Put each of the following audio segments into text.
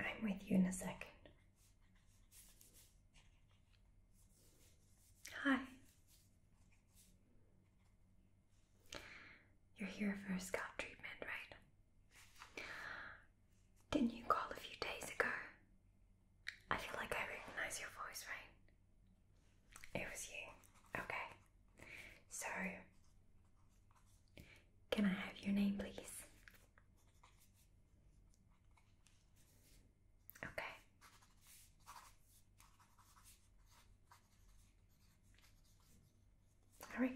I'm with you in a second. Hi. You're here for a scalp treatment, right? Didn't you call a few days ago? I feel like I recognize your voice, right? It was you. Okay, so, can I have your name, please? Okay. Alright.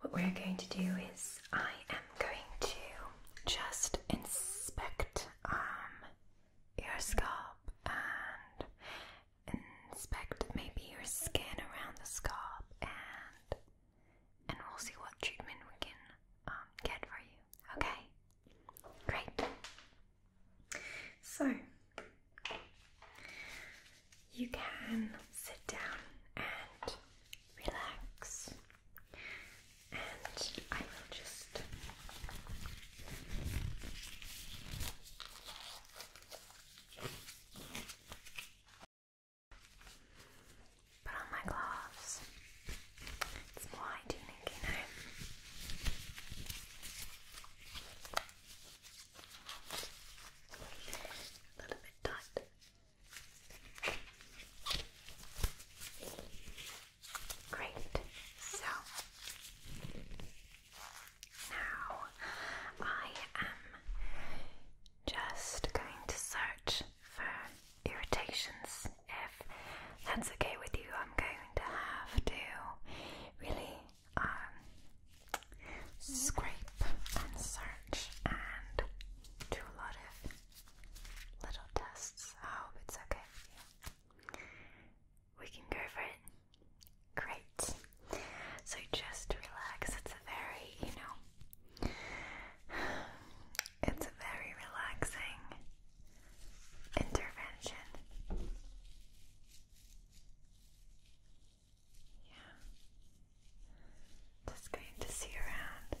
What we're going to do is, I am going to just inspect um, your scalp and inspect maybe your skin around the scalp and and we'll see what treatment we can um, get for you. Okay? Great. So you can sit down and relax. And I will just Put on my gloves. It's more you A little bit tight. Great. So now I am just going to search for irritations. If that's okay with you, I'm going to have to really um, scrape and search and do a lot of little tests. I hope it's okay with you. We can go for it. Great. So just relax. It's a very, you know, it's a very relaxing intervention. Yeah. Just going to see around.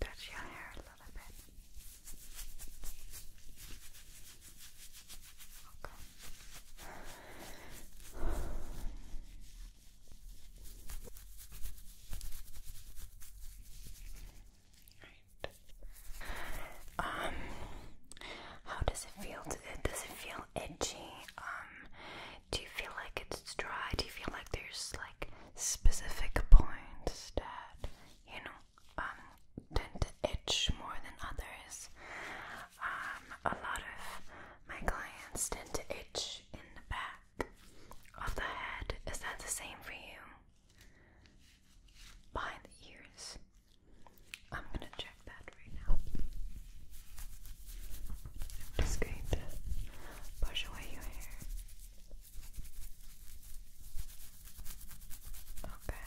Touch your hair a little bit. Okay. Um, how does it feel? Does it, feel itchy? Um, do you feel like it's dry? Do you feel like there's like specific points that you know um, tend to itch more than others? um, a lot of my clients tend to itch in the back of the head. Is that the same for you? Behind the ears? I'm gonna check that right now. I'm just going to push away your hair. Okay.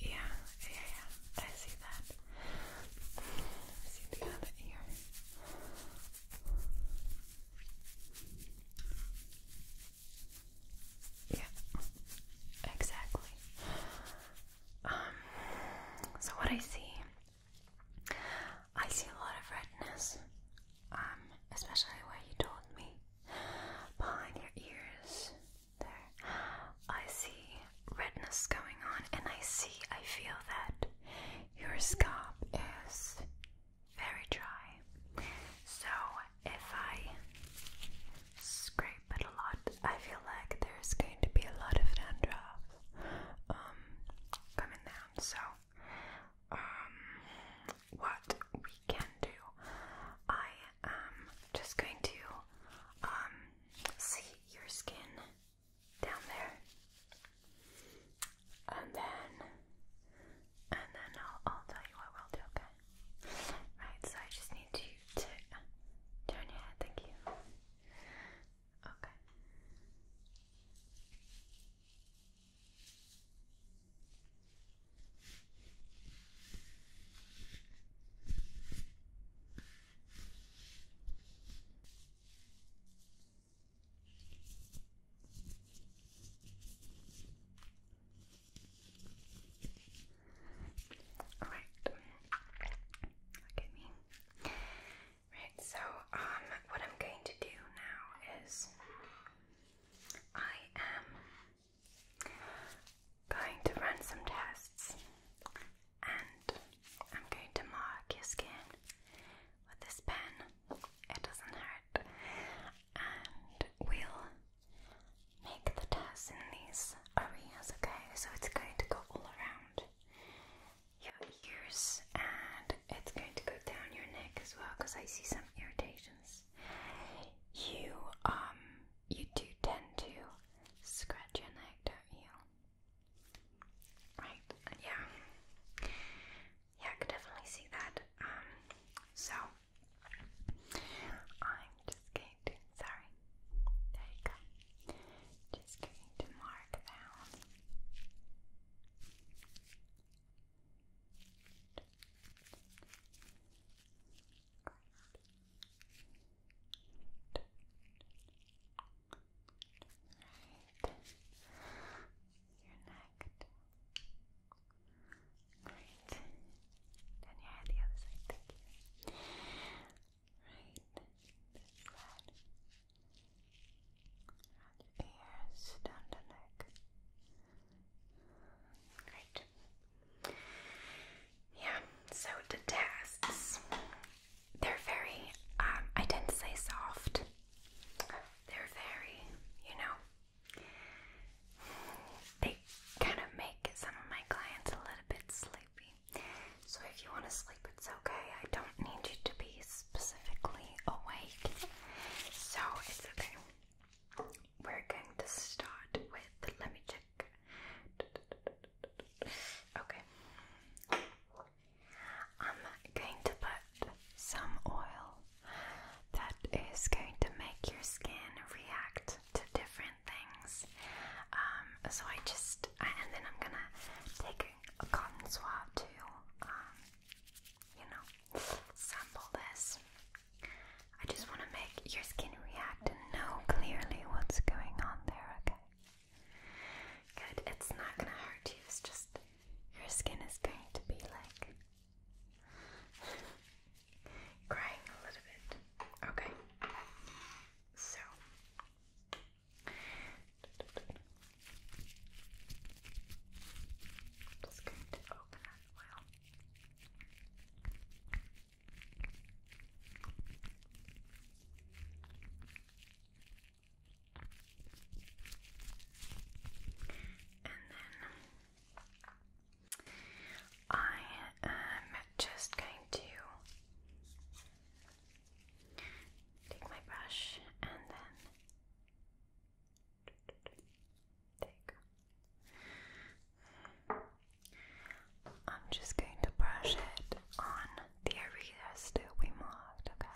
Yeah, yeah, yeah. I see that see the other ear. Yeah, exactly. Um, so what I see, I see a lot of redness, um, especially where you told me behind your ears there. I see redness going on, and I see, I feel that your scalp is very dry. So if I scrape it a lot, I feel like there's going to be a lot of dandruff um, coming down. So um, what we can do, I am just going to um, see your skin down there, and then, and then I'll, tell you what we'll do. Okay. Right. So I just need you to turn your head. Thank you. Okay. Alright. Look at me. Right, so um what I'm going to do now is I am going to run some tests and I'm going to mark your skin with this pen. It doesn't hurt. And we'll make the tests in these areas, okay? So it's going to go all around your ears and it's going to go down your neck as well because I see some irritations. You um you do tend to scratch your neck, don't you? Right, yeah. Yeah, I could definitely see that. Um, so I'm just going to sorry. There you go. Just going to mark down. Your neck. Great. Then your head the other side, thank you. Right. This your ears, down the neck. Great. Yeah, so the tests they're very, um, I tend to say soft. They're very, you know, they kind of make some of my clients a little bit sleepy. So if you want to sleep, it's okay. I don't need you to be specifically awake. So it's okay. We're going to start with, let me just Okay. I'm going to put some oil that is going to make your skin react to different things. Um, so I just, and then I'm gonna take a cotton swab to, um, you know, sample this. I just want to make your skin react and know clearly what's going on there, okay? Good, it's not gonna hurt you, it's just your skin is going to be like crying a little bit. Okay, so I'm just going to open that oil then I am just going to take my brush and then take. I'm just going to brush it on the areas that we marked, okay? Right.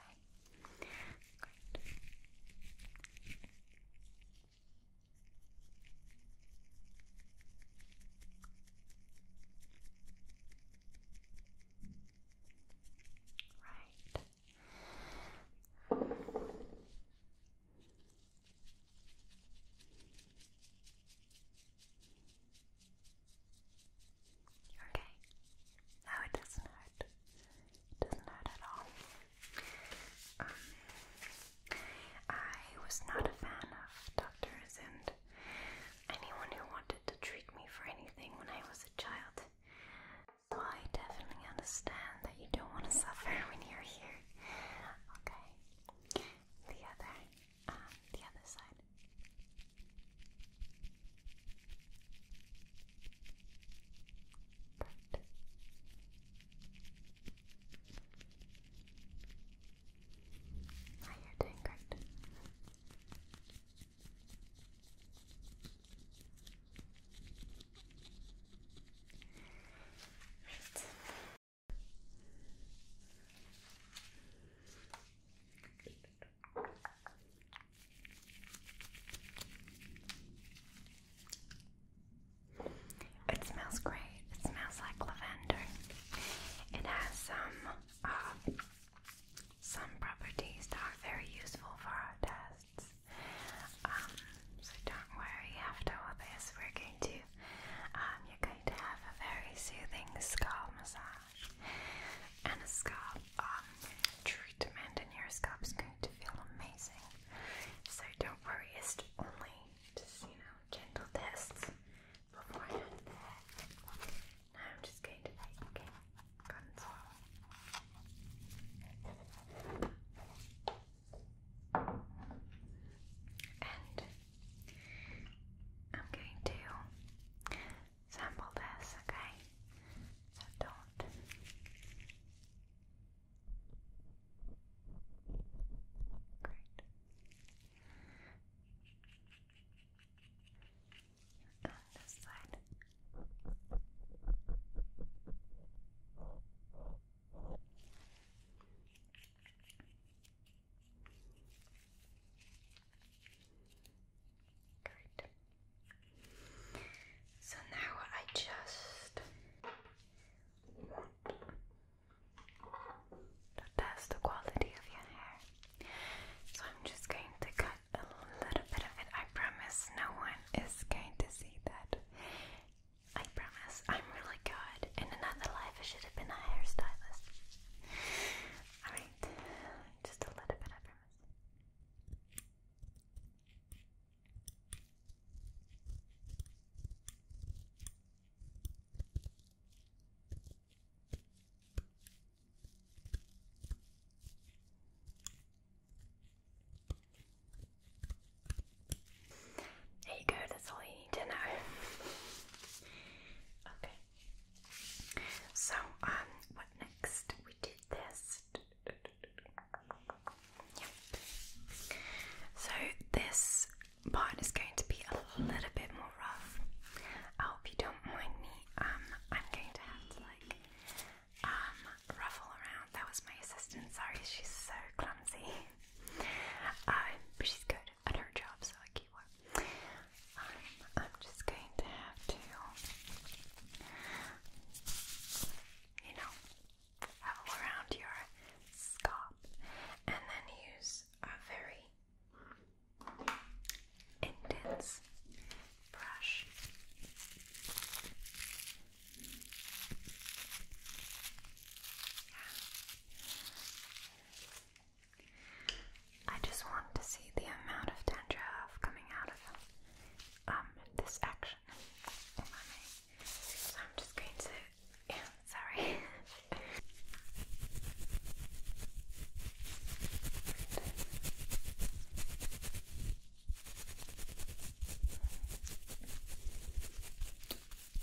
Okay. No, it doesn't hurt. doesn't hurt at all. Um, I was not a fan of doctors and anyone who wanted to treat me for anything when I was a child. So I definitely understand that you don't want to suffer when you're here. Okay. The other and the other side. Perfect. you're doing great. Right. It smells great. It smells like lavender. It has some uh, some properties that are very useful for our tests. Um, so don't worry. After all this, we're going to um, you're going to have a very soothing scalp massage and a scalp um, treatment, and your scalp's going to feel amazing. So don't worry, it's only just you know gentle tests beforehand. Now I'm just going to take guns and I'm going to sample this, okay? So don't. Great. And this side. So now I just want the quality of your hair. So I'm just going to cut a little bit of it. I promise no one is going to see that. I promise I'm really good. In another life life, I should have been a hairstylist. Alright, just a little bit, I promise. There you go, that's all you need to know. okay. So, um, what next? We did this. Yep. So, this part is going to be a little bit more rough. I hope you don't mind me. Um, I'm going to have to like um ruffle around. That was my assistant. Sorry, she's so clumsy. Um, but uh, she's good at her job, so I keep one. I'm just going to have to, you know, Howl around your scalp and then use a very intense brush. I just want to see the amount of dandruff coming out of um this action, So I'm just going to, sorry.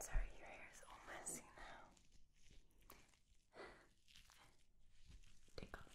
Sorry, your hair is all messy now. Tickle. i sorry.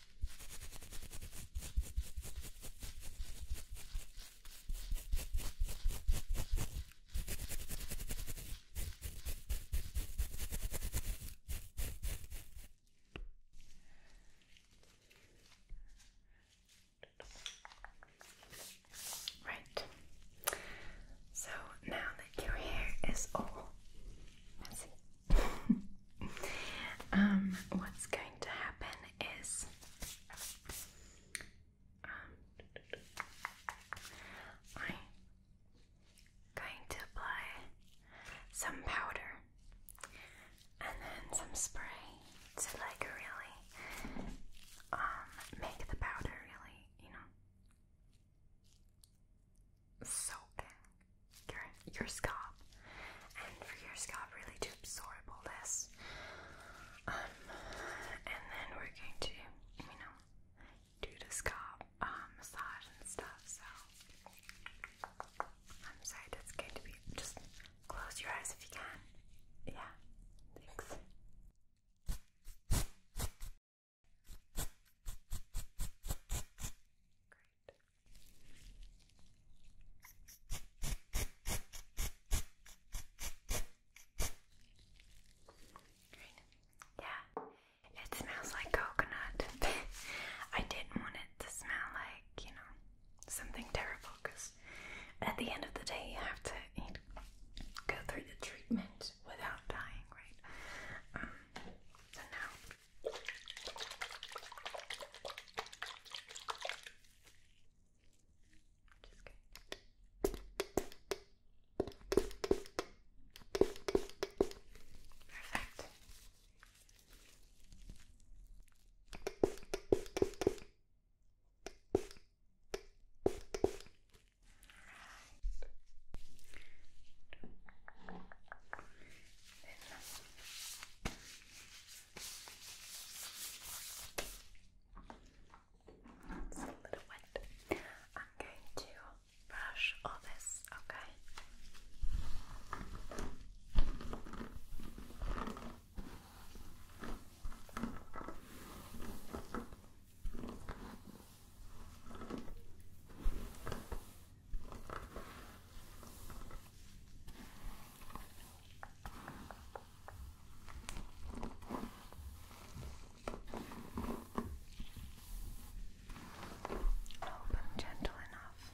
Right. So now that your hair is all messy, um, what's going to happen is um, I'm going to apply some powder and then some spray to like really um, make the powder really, you know, soak your scalp and for your scalp really to absorb all this. Um, and then we're going to, you know, do the scalp uh, massage and stuff. So I'm sorry, that's going to be just close your eyes if you can. Yeah, thanks. Yeah, it smells like coconut. I didn't want it to smell like, you know, something terrible because at the end of the day, you have to eat, go through the treatment without dying, right? Um, so now. Just go. Perfect. Alright. Then it's a little wet. I'm going to brush all this, okay? Hope I'm gentle enough.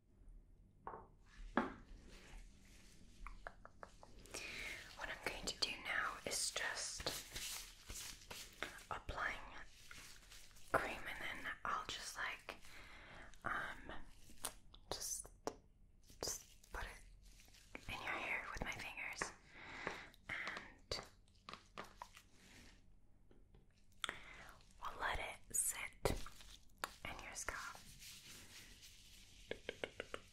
What I'm going to do now is just applying cream and then I'll just like um just put it in your hair with my fingers and let it sit and your scalp.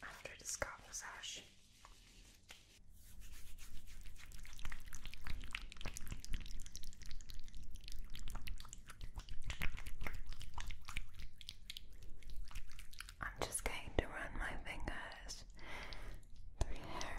After the scalp massage. I'm just going to run my fingers through here.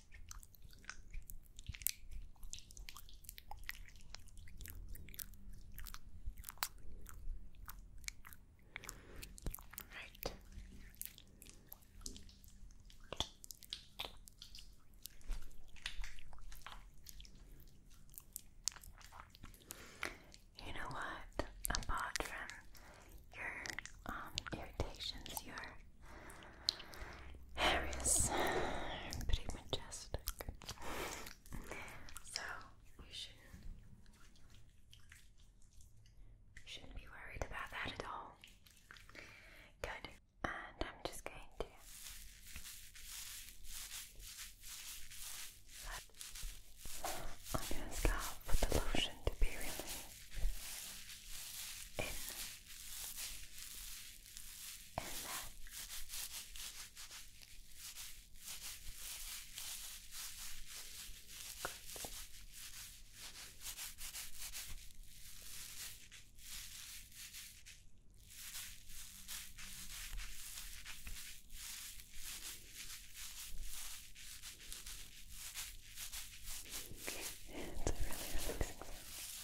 Right. You know what? Apart your um, irritations, your areas pretty majestic. So you shouldn't be worried about that at all. Good. And I'm just going to on your scalp for the lotion to be really in and then Good. It's a really relaxing sound.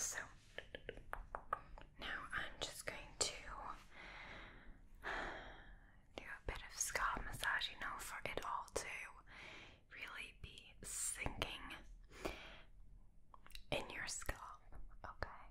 So now I'm just going to do a bit of scalp massage, you know, for it all to really be sinking in your scalp. Okay.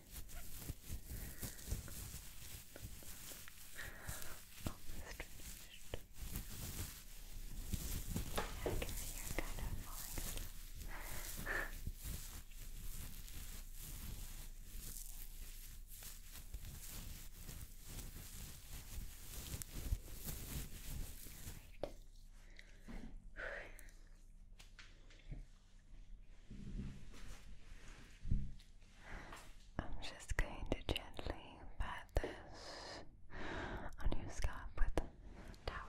Almost I can see you're kind of falling asleep. Alright. I'm just going to gently pat this on your scalp with towel.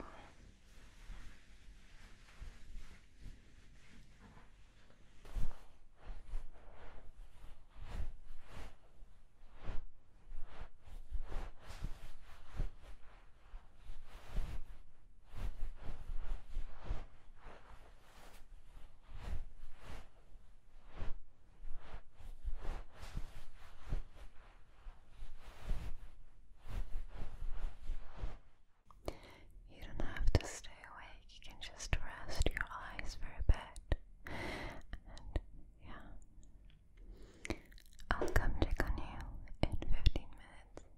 You don't have to stay awake, you can just rest your eyes for a bit. And yeah, I'll come check on you in 15 minutes.